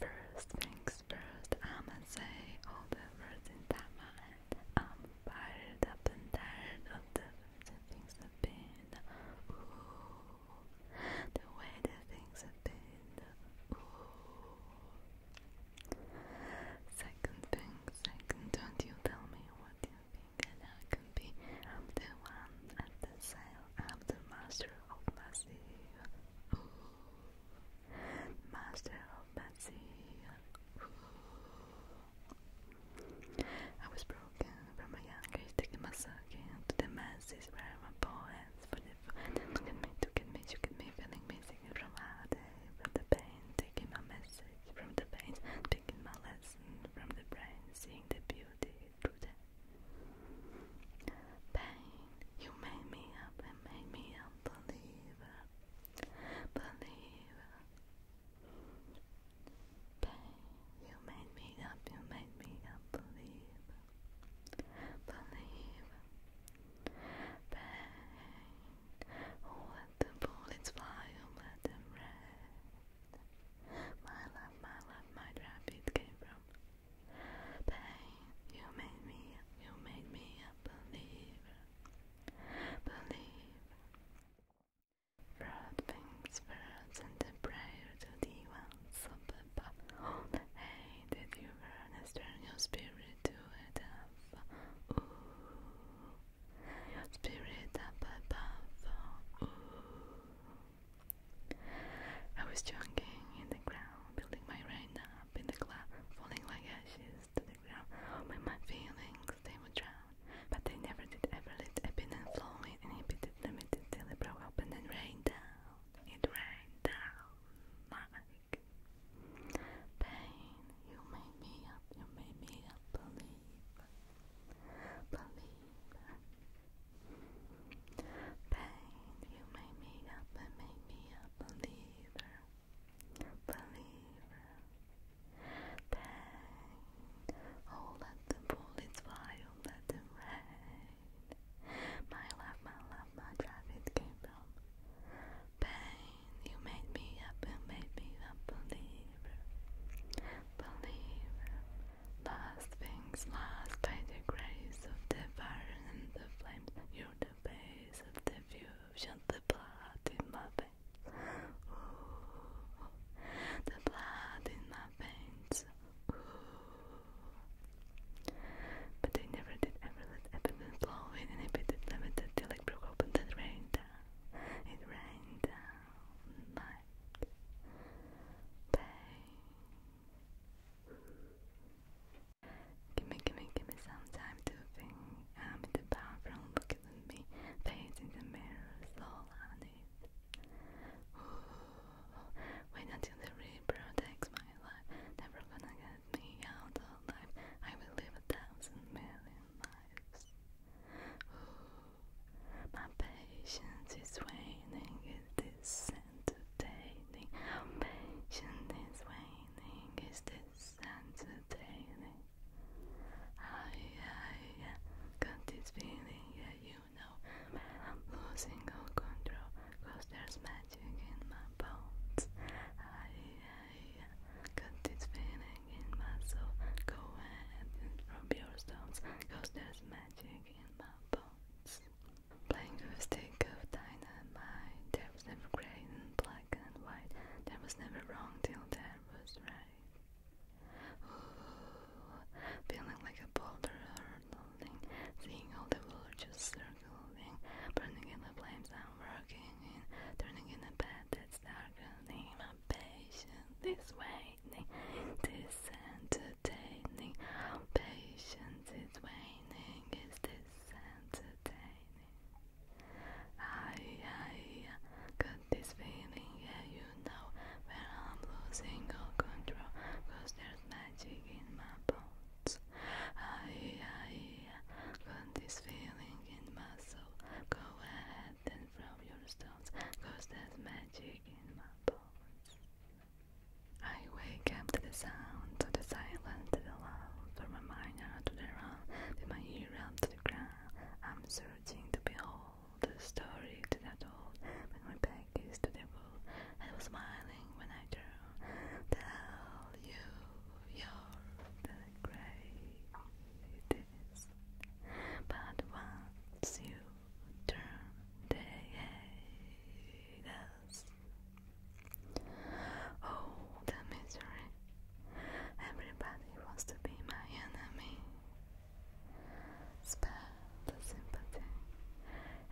First things first, I'ma say all the words in that mind. I'm fired up and tired of the way the things have been. Ooh, the way the things have been. Ooh. Second thing, second, don't you tell me what you think, and I can be. I'm the one at the sail. I'm the master of my sea. Ooh. Master of Betsy. I was broken from a young taking my circuit into the masses where my poets for the look at me, took at me, shook at me, feeling me, from out eh, from the pain, taking my message from the pain, taking my lesson from the brain, seeing the beauty through the Pain, you made me up and made me a believer. Believer. Pain, you made me up, you made me a believer. Believer. Pain, oh, let the bullets fly, oh, let them rain. My love, my love, my rapid came from Pain, you made me, you made me believe, believe. Broad things birds and the prayer to the ones above. hey, did you earnest turn your spirit to it up? spirit up above. I was choking in the ground, building my rain up in the cloud, falling like ashes to the ground. Oh, my, my feelings, they would drown. But they never did ever let ebb in and flow, it inhibited, limited, till it broke open and rained down. It rained down like pain. You made me up, you made me up, believe. Believe. Pain, you made me up and made me a believer, believer. Pain, oh let the bullets fly, oh let them rain. My love, my love, my drive, it pain. You made me up and made me a believer, believer. Last things last by the grace of the Father the flames. You're the base of the fusion, the blood in my veins. Ooh, the blood in my veins. Ooh. But they never did ever let Epidemic blow in and it bit limited till it broke open that rained down. It rained down night. Pain. Gimme, gimme, gimme some time to think. I'm in the bathroom looking at me, facing the mirror, slow on it. Ooh, wait until the river takes my life. Never gonna get me out alive. I will live a thousand million lives. Ooh, my patience is waning. It is sad entertaining. How waning? Is this entertaining? Ah, oh, Got this feeling, yeah, you know. I'm losing all control, there's magic in my bones. Ah, yeah, yeah. Got this feeling in my soul. Go ahead your stones, cause there's magic in my bones. Playing with a stick of dynamite, there was never grey and black and white, there was never wrong till there was right. Ooh, feeling like a boulder hurtling, seeing all the world just circling, burning in the flames I'm working turning in a bed that's darkening, my patience this way, this and entertaining. patience is waning. Is this entertaining? Aye, aye, got this feeling, yeah, you know, when I'm losing all control, there's magic in my bones. Aye, aye, got this feeling in my soul, go ahead and throw your stones, there's magic in my bones. I wake up to the sound, of the silence, to the love, from my mind out to the round, with my ear up to the ground. I'm searching to behold the story to that old, when my back is to the world. I was smiling when I turn. Tell you you're the grave but once you turn the head, Oh, the misery! Everybody wants to be my enemy. Spare the sympathy.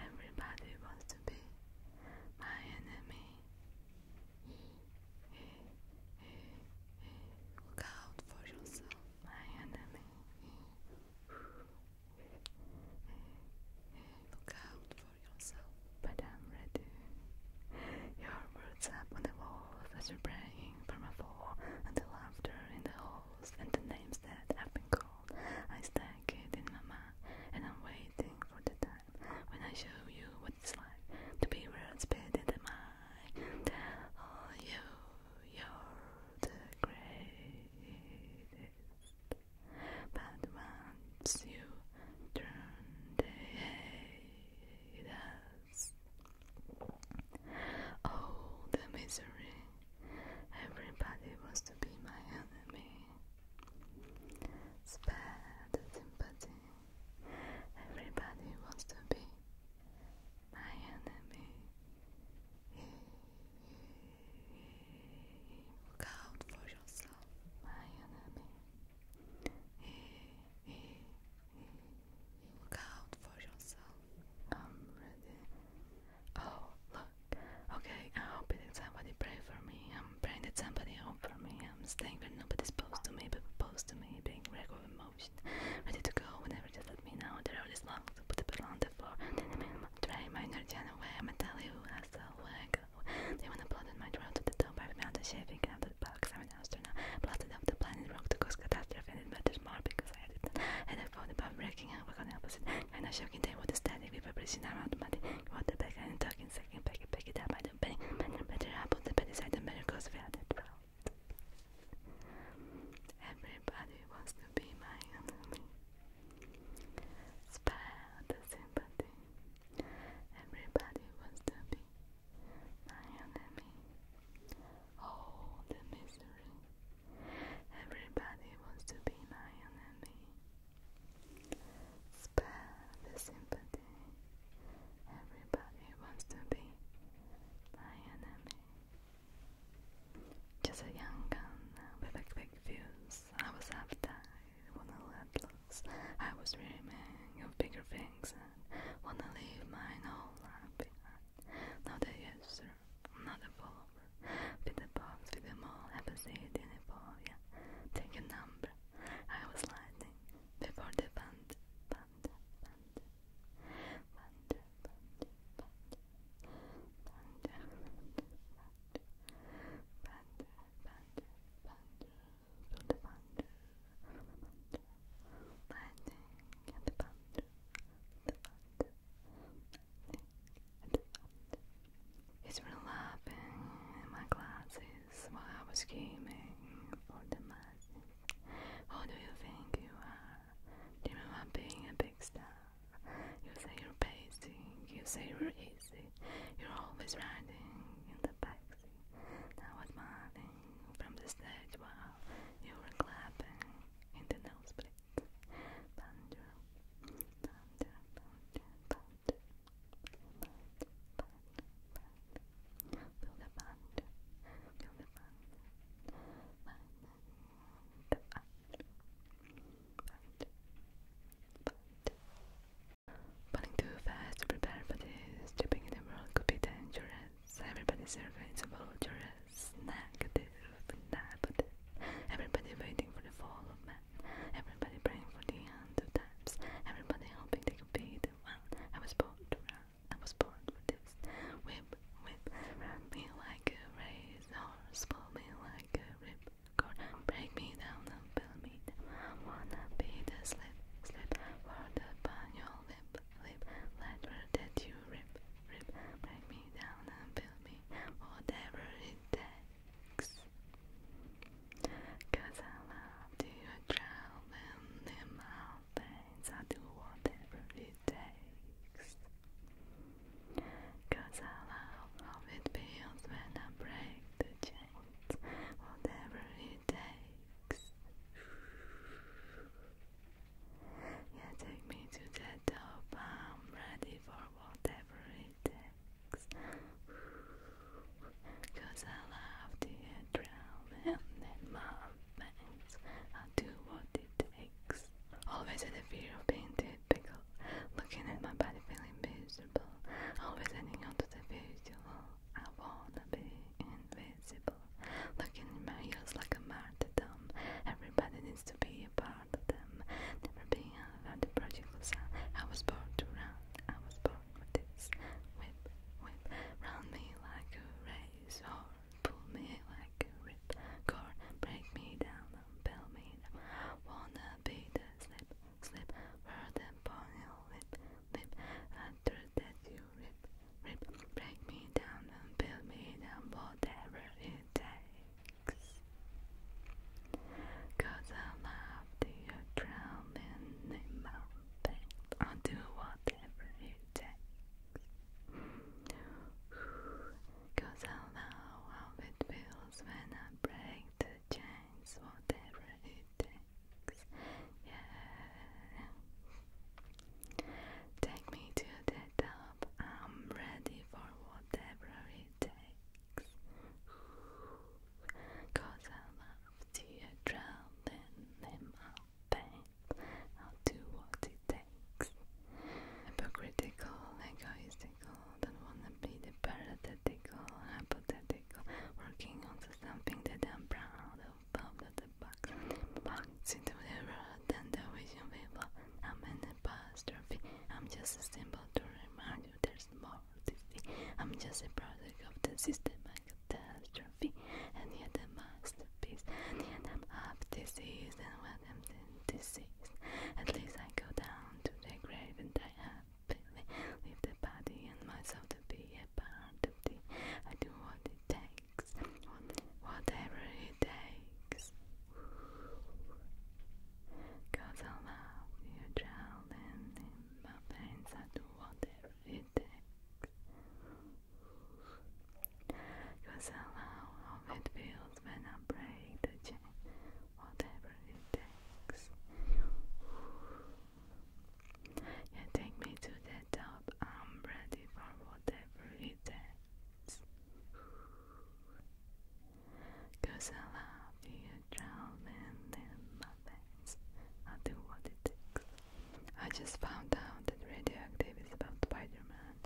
Everybody wants to be my enemy. He, he, he, he. Look out for yourself, my enemy. Look out for yourself, but I'm ready. Your words up on the walls as you're praying from the laughter in the halls, and the names that have been called. I stack it in my mind, and I'm waiting for the time when I show you what it's like to be words better than mine. Tell you you're the greatest but once you turn the head, oh, the misery! Everybody wants to be my enemy. Spare the sympathy. Everybody wants to be my enemy. Look out for yourself, my enemy. Look out for yourself. I'm ready. Oh, look. Okay, I hope that somebody pray for me. I'm praying that somebody hope for me. I'm staying where nobody's supposed to me, but supposed to me, being record emotion. Ready to go whenever just let me know. The road this long, to put the pedal on for Today my inner channel where I'm tell you They wanna plot in my throat to the top I've shaving out of the box I'm an astronaut Plotted up the planet rock to cause catastrophe And it matters more because I did not And I thought about breaking and work on the opposite Kinda shocking they would study with vibration around money What the back and talking second pack it pick it up I don't better better I the better cause we had it Everybody wants to be my enemy. Spare the sympathy. Everybody wants to be my enemy. Oh, the misery. Everybody wants to be my enemy. Spare the sympathy. Everybody wants to be my enemy. Just a young gun uh, with a quick fuse. I was after wanna let loose. I was dreaming of bigger things and wanna leave mine whole life behind. Not a user, not a follower. Fit a box with them all, have a seat in a yeah. Take a number. I was lightning before the band, band, band, band, band, band, band, band, band panda, panda, panda, panda, panda, panda, lightning and the panda, the panda, lightning and the panda. He's been laughing in my glasses while I was scheming for the masses. Who do you think you are? Do you remember being a big star? You say you're pacing, you say you're easy, you're always riding in the backseat. Now was smiling from the stage while you were clapping in the nosebleed. But, but running too fast to prepare for this, jumping in the world could be dangerous. Everybody surveying is a vulturous, negative, negative. Everybody waiting for the fall of man. Everybody praying for the end of times. Everybody hoping they could be the one. I was born for this. Whip, whip, run me like a race horse, me like a rip break me down and build me down. I want slip, slip for the bun lip, lip, letter that you rip, rip. Break me down and build me whatever it takes. I love to travel in mountains. I do whatever it takes. Cause I love how it feels when I break the chains, whatever it takes. Yeah, take me to the top, I'm ready for whatever it takes. I love the adrenaline in my veins, I'll do what it takes. Always had the fear of being dead pickle. Looking at my body feeling miserable. Always heading onto the visual. I wanna be invisible. Looking in my heels like a martyrdom. Everybody needs to be a part of them. Never being another the prodigal son. I was born to run. I was born with this. Whip, whip. Round me like a race. Or pull me like a rip. Cord. Break me down bell made Wanna be the slip, slip Word upon your lip, lip After that you rip, rip Break me down and build me down Whatever it takes Cause I love you drowning in my pain I'll do whatever it takes I know how it feels feels when I break the chains, whatever it takes. Yeah. Take me to the top, I'm ready for whatever it takes. I love to drown in my pain. I'll do what it takes hypocritical, egoistical, don't wanna be the parenthetical, hypothetical, working on something that I'm proud of, out of the box, box into the road and the vision people, I'm an apostrophe, I'm just a symbol to remind you there's more to see, I'm just a product of the system, a catastrophe, and yet a masterpiece, and yet I'm half diseased and what am deceased. At least I go down to the grave and die happily. Leave the body and myself to be a part of thee. I do what it takes, whatever it takes. Cause I love you, child, and in my veins I do whatever it takes. Cause I love how it feels when I break the chain whatever it takes. You take me to the top, I'm ready for whatever it takes. Cause I love you, drowning in my I'll do what it takes. I just found out that Radioactive is about Spider Man.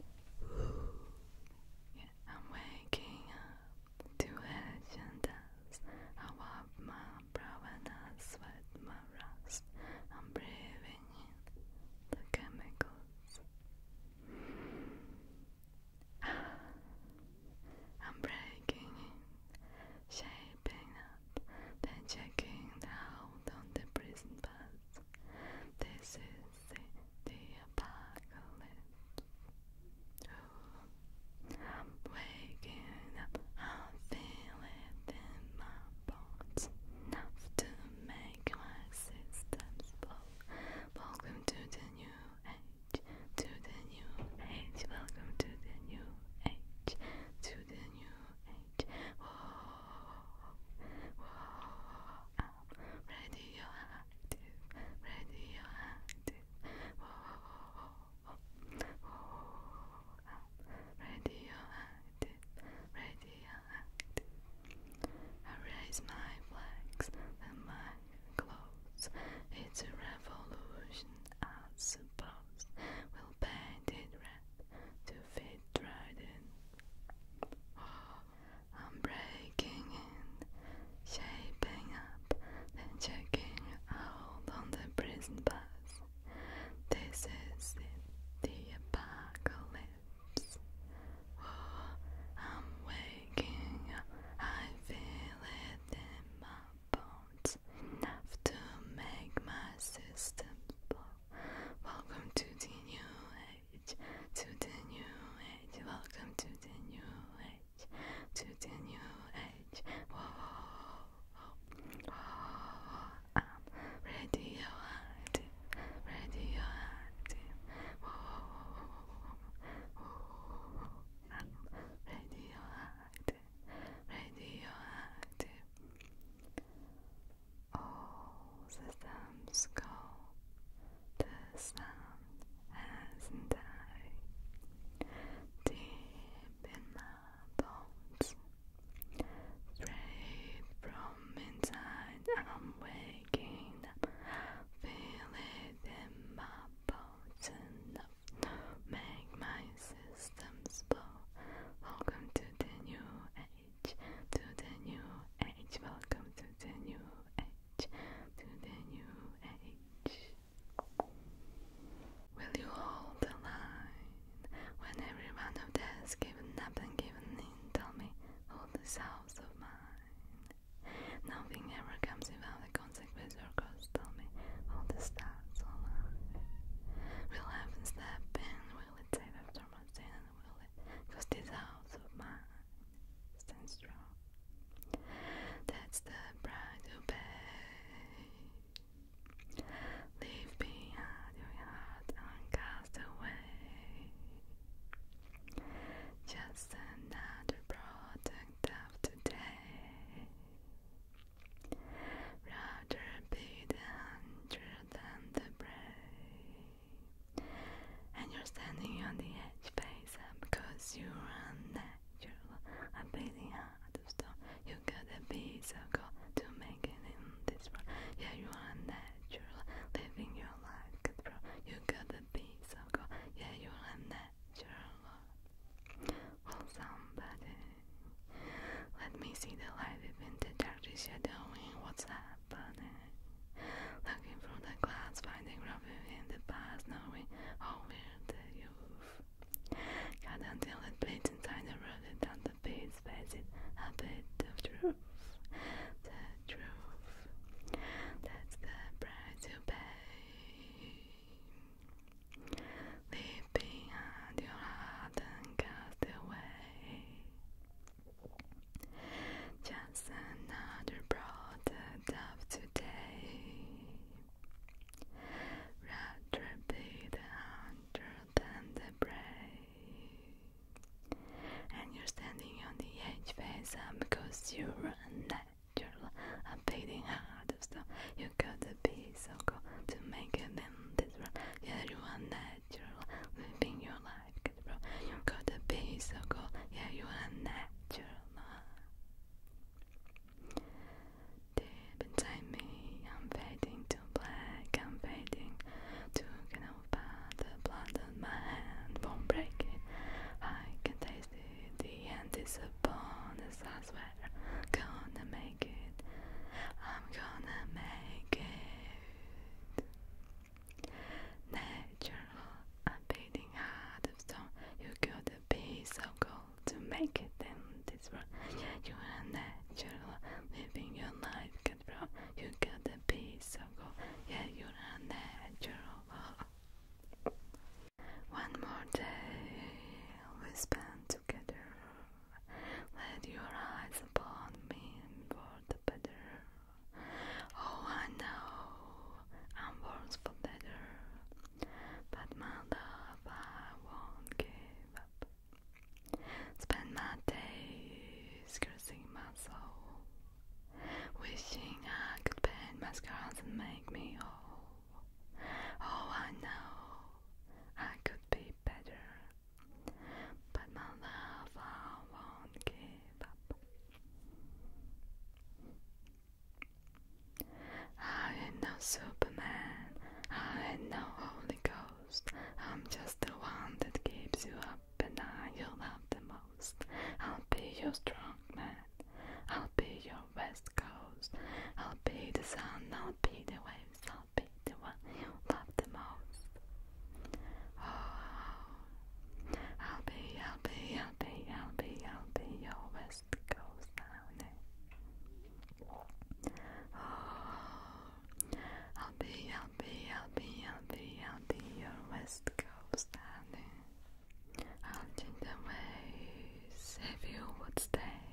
I'm waking up. Tuhe chandas, avabma pravana svetma rust. I'm breathing in the chemicals. I'm breaking in, shaping up, then checking out on the prison bus. This is see the apocalypse. I'm waking up, I feel it my bones, enough to make my systems blow. Welcome to the new age, to the new age, welcome to the new age, to the new age radioactive, radioactive. Whoa, whoa, whoa, I'm radioactive, radioactive. I raise my flags and my clothes. It's a revolution, I suppose. We'll paint it red to fit right in. Oh, I'm breaking in, shaping up, and checking out on the prison bus. This is it, the apocalypse. Oh, I'm waking up, I feel it in my bones, enough to make my system blow. Welcome to new age to the new age. Welcome to the new age, to the new age. Whoa, whoa, I'm radioactive, radioactive. Whoa, whoa, I'm radioactive, radioactive. All systems go the sun has died deep in my bones. Straight from inside, I'm waking Feel it in my bones enough make my systems blow. Welcome to the new age, to the new age, welcome to the new age to the new age. Will you hold the line when every one of us given up and given in? Tell me, hold this house of mine. Nothing ever comes without the consequences. or cause? Tell me, hold the stars alive. Will heaven step in? Will it save after my sin? Will it cost this house of mine? Stand strong. That's the pride to pay. Leave behind your heart and cast away. Just another product of today. Rather be the hunter than the brave and you're standing on the edge face up because you're unnatural. I'm beating out of You got the be of God to make it in this world. Yeah, you are unnatural, living your life control. You got the be of God. Yeah, you are unnatural. Well, somebody, let me see the light within the dark shadowing. What's happening? Looking through the glass, finding refuge in the past, knowing how we the youth. Cut until it bleeds inside the rooted and the face, face a bit of truth. The truth. That's the price you pay. Leave behind your heart and cast away. Just another product of today. Rather be the hunter than brave. And you're standing on the edge face up you're unnatural. beating heart of stone. You gotta be so cool to make it in this world. Yeah, you are natural. Living your life you got the be so cool, yeah, you are natural. Deep inside me, I'm fading to black, I'm fading to canova. The blood on my hand won't break it. I can taste it, the end is a bonus, I swear. Gonna make it, I'm gonna make it. Natural, a beating heart of stone. You got a piece of gold to make it in this world. You are natural, living your life, cut bro. You got a piece of gold. Yeah, you are natural. One more day we spend together. Let your eyes upon me for the better. Oh, I know I'm worth for better, but my love I won't give up. Spend my days cursing my soul, wishing I could paint my scars and make me whole. Oh, I know I could be better, but my love I won't give up. I ain't no Superman, I ain't no Holy Ghost. I'm just the one that keeps you up and I you the most. I'll be your strong man, I'll be your west coast. I'll be the sun, I'll be the waves, I'll be the one you love the most. Oh, I'll be, I'll be, I'll be, I'll be, I'll be your West Coast honey. Oh, I'll be, I'll be, I'll be, I'll be, I'll be your West Coast honey. I'll change the ways if you would stay,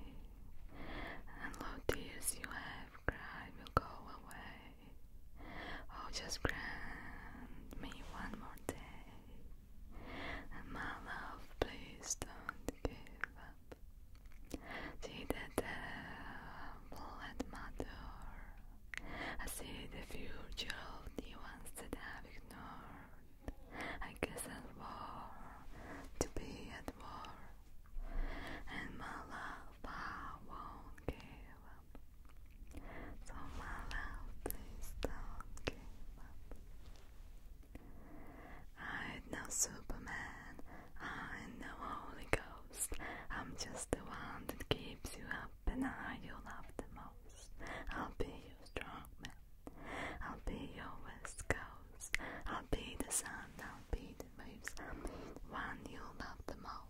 and low tears you have cried will go away. Oh, just grant me one more day. My love, please don't give up. See the devil at my I see the future of the ones that I've ignored. I guess I'll war to be at war. And my love, I won't give so my love, please do I ain't no Superman, I ain't no Holy Ghost. I'm just the one that keeps you up and I you love the most. I'll be your strong man, I'll be your west coast. I'll be the sun, I'll be the waves, I'll be the one you love the most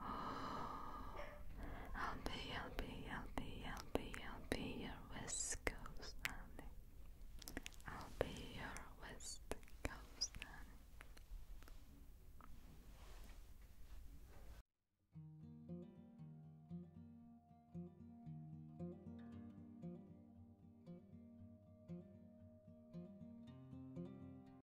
Oh, I'll be, I'll be, I'll be, I'll be, I'll be your West Coast honey. I'll be your West Coast honey.